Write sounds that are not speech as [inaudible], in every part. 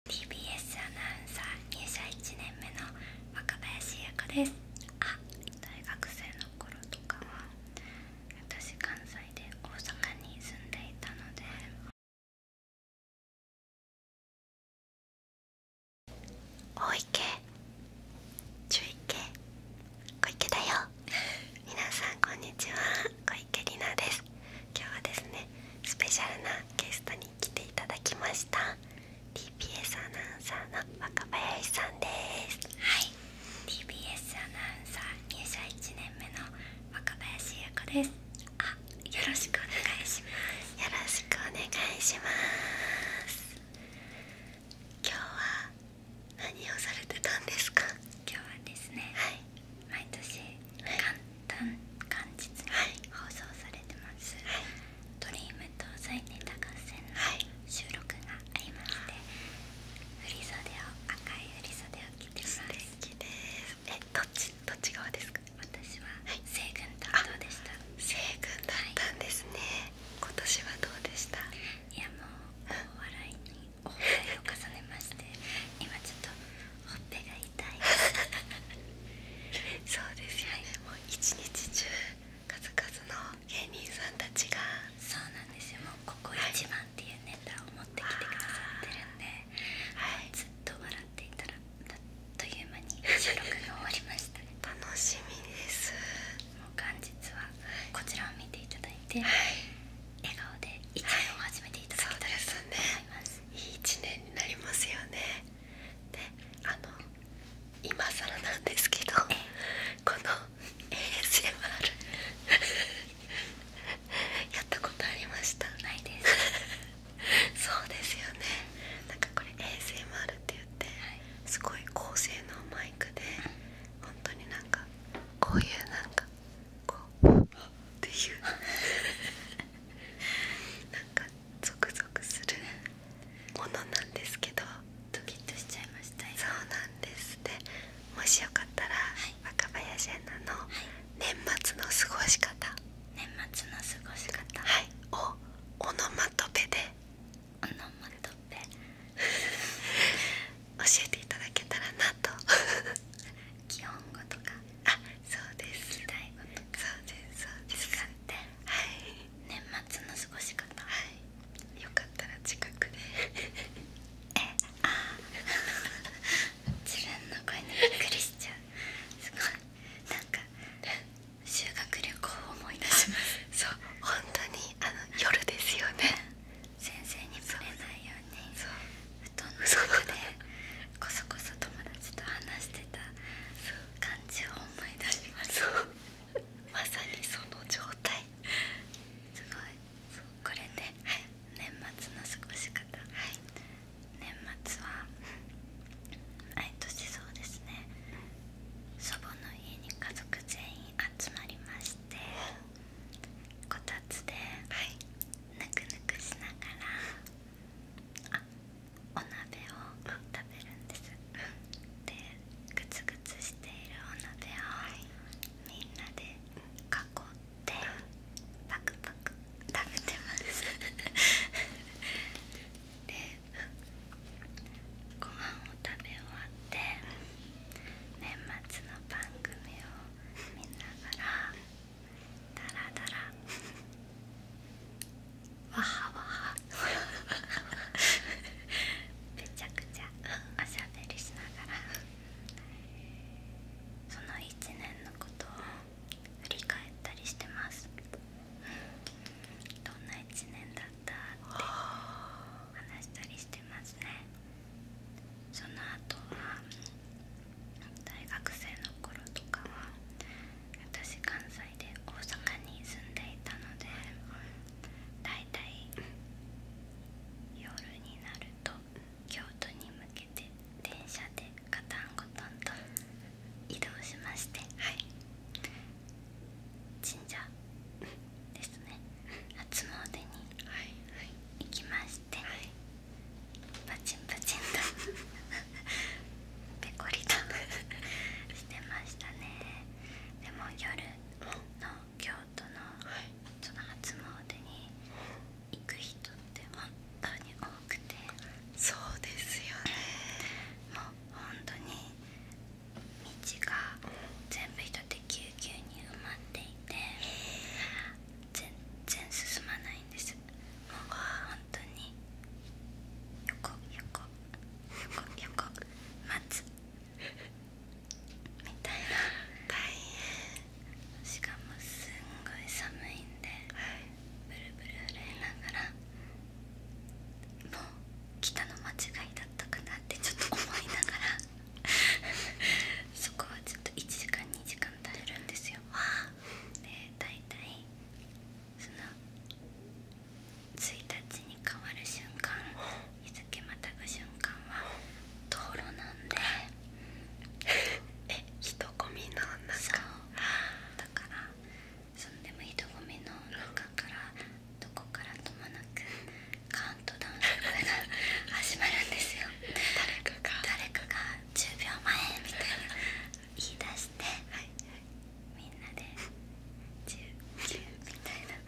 TBS アナウンサー入社1年目の若林優子ですあ大学生の頃とかは私関西で大阪に住んでいたので大池中池小池だよ [laughs] 皆さんこんにちは小池里奈です今日はですねスペシャルなゲストに来ていただきました TBS アナウンサーの若林さんですはい TBS アナウンサー入社1年目の若林優子ですあよろしくお願いしますよろしくお願いします今日は何をされてたんですか今日はですね、はい、毎年簡単、はい、簡実放送されてます「ドリームと再ネタ合戦」の収録がありまして、振り袖を赤い振り袖を着てますえどっちどっち側ですか私は西軍担当でですね、今年はどうでしたいやもう大笑いに大笑を重ねまして今ちょっとほっぺがそうですよね、もう一日中数々の芸人さんたがそうなんですよもうここ一番っていうネタを持ってきてくださってるんで、はい、ずっと笑っていたらという間に収録が終わりましたね楽しみですもう元日はこちらを見ていただいて、笑顔で一年を始めていただけと思います、いい1年になりますよねであの今更なんですけどこの ASMR [laughs] やったことありましたないですそうですよねなんかこれ ASMR って言って、すごい高性能マイクで、うん、本当になんかこういうなんかこうっていうなんかゾクゾクするものなんですけどドキッとしちゃいましたそうなんですでもしよかったら、はい、若林アナの年末の過ごし方、はい、年末の過ごし方、はい、をオノマトペでオノマトペ教えていただけたらなと基本語とかそうですとそうですそうです年末の過ごし方よかったら近くでえあ自分の声にびっくりしちゃうすごいなんか修学旅行を思い出しますそう本当にあの夜ですよね先生に触れないように布団の中でこそこそ友達と話してた感じを思い出しますまさにその状態すごいこれね年末の過ごし方、年末は毎年そうですね祖母の家に家族全員集まりましてこたつでぬくぬくしながらあお鍋を食べるんですでグツグツしているお鍋をみんなで囲ってパクパク食べてます [laughs] でご飯を食べ終わって年末の番組を見ながらダラダラわはわはめちゃくちゃおしゃべりしながらその1年のことを振り返ったりしてますどんな1年だったって話したりしてますねその後は大学生の頃とかは私関西で大阪に住んでいたので大体？夜になると京都に向けて電車でガタンゴトンと移動しましてはい神社ですね初詣に行きまししパチンパチンとペコリとしてましたねでも夜の京都のその初詣に行く人って本当に多くてそうですよねもう本当に道が全部人でぎゅうぎゅうに埋まっていて全然進まないんですもう本当に横横横横待つみたいな大い、しかもすんごい寒いんで、ブルブル震えながらもう来たの間違いだったかなってちょっと思いながら [laughs] そこはちょっと1時間2時間耐えるんですよで大体その1日に変わる瞬間日付またぐ瞬間は道路なんで [laughs] え人混みの中そうだからそんでも人混みの中からどこからともなくカウントダウンが始まるんですよ誰かが誰10秒前みたいな言い出して、みんなで19みたいな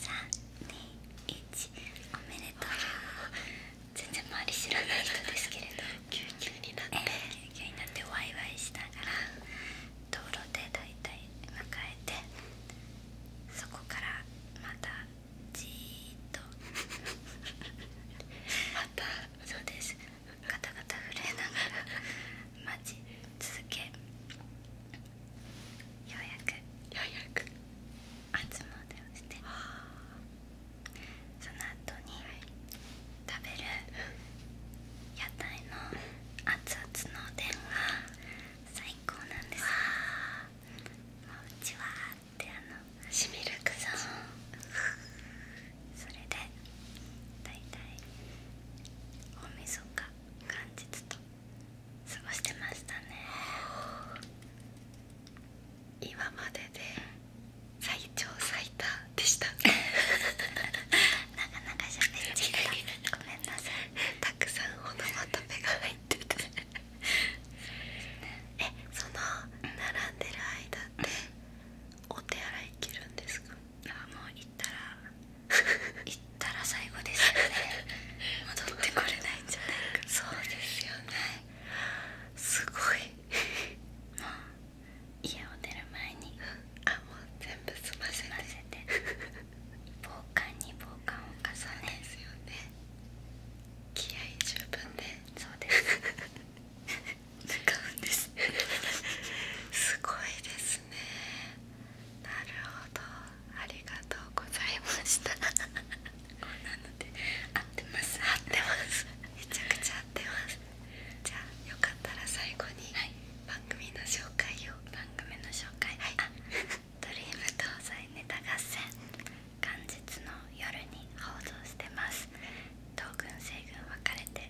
321おめでとう全然周り知らない人ですけれど99にになってワイワイしながら道路で大体迎えてそこからまたじっとまたそうですガタガタ震えながら待ち続けようやくようやく初詣をしてその後に食べる屋台の熱々のおでんが最高なんですうちはってあのしみるくぞそれでだいたい大晦日元日と過ごしてましたね今までで最長最多でした [laughs] なかなかしゃべっちゃっごめんなさいたくさんオノマトペが入っっててえその並んでる間ってお手洗い行けるんですかあもう行ったら行ったら最後ですよね戻ってこれないんじゃないかそうですよね、すごいもう家を出る前にあもう全部済ませて済ませて防寒に防寒を重ねですよね気合十分でそうです使うんですすごいですねなるほどありがとうございましたこんなので合ってます合ってますめちゃくちゃ合ってますじゃあよかったら最後に番組の紹介を番組の紹介はいドリーム東西ネタ合戦元日の夜に放送してます東軍西軍分かれて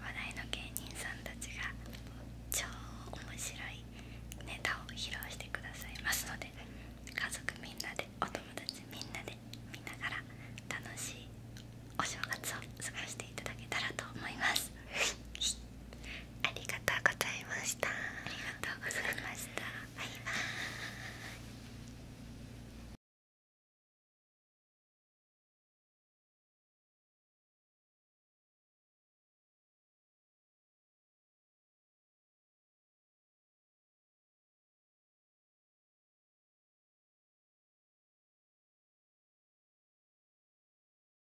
話題の芸人さんたちが超面白いネタを披露してくださいますので家族みんなでお友達みんなで見ながら楽しいお正月を過ごしていただけたらと思いますありがとうございましたありがとうございましたバイバイ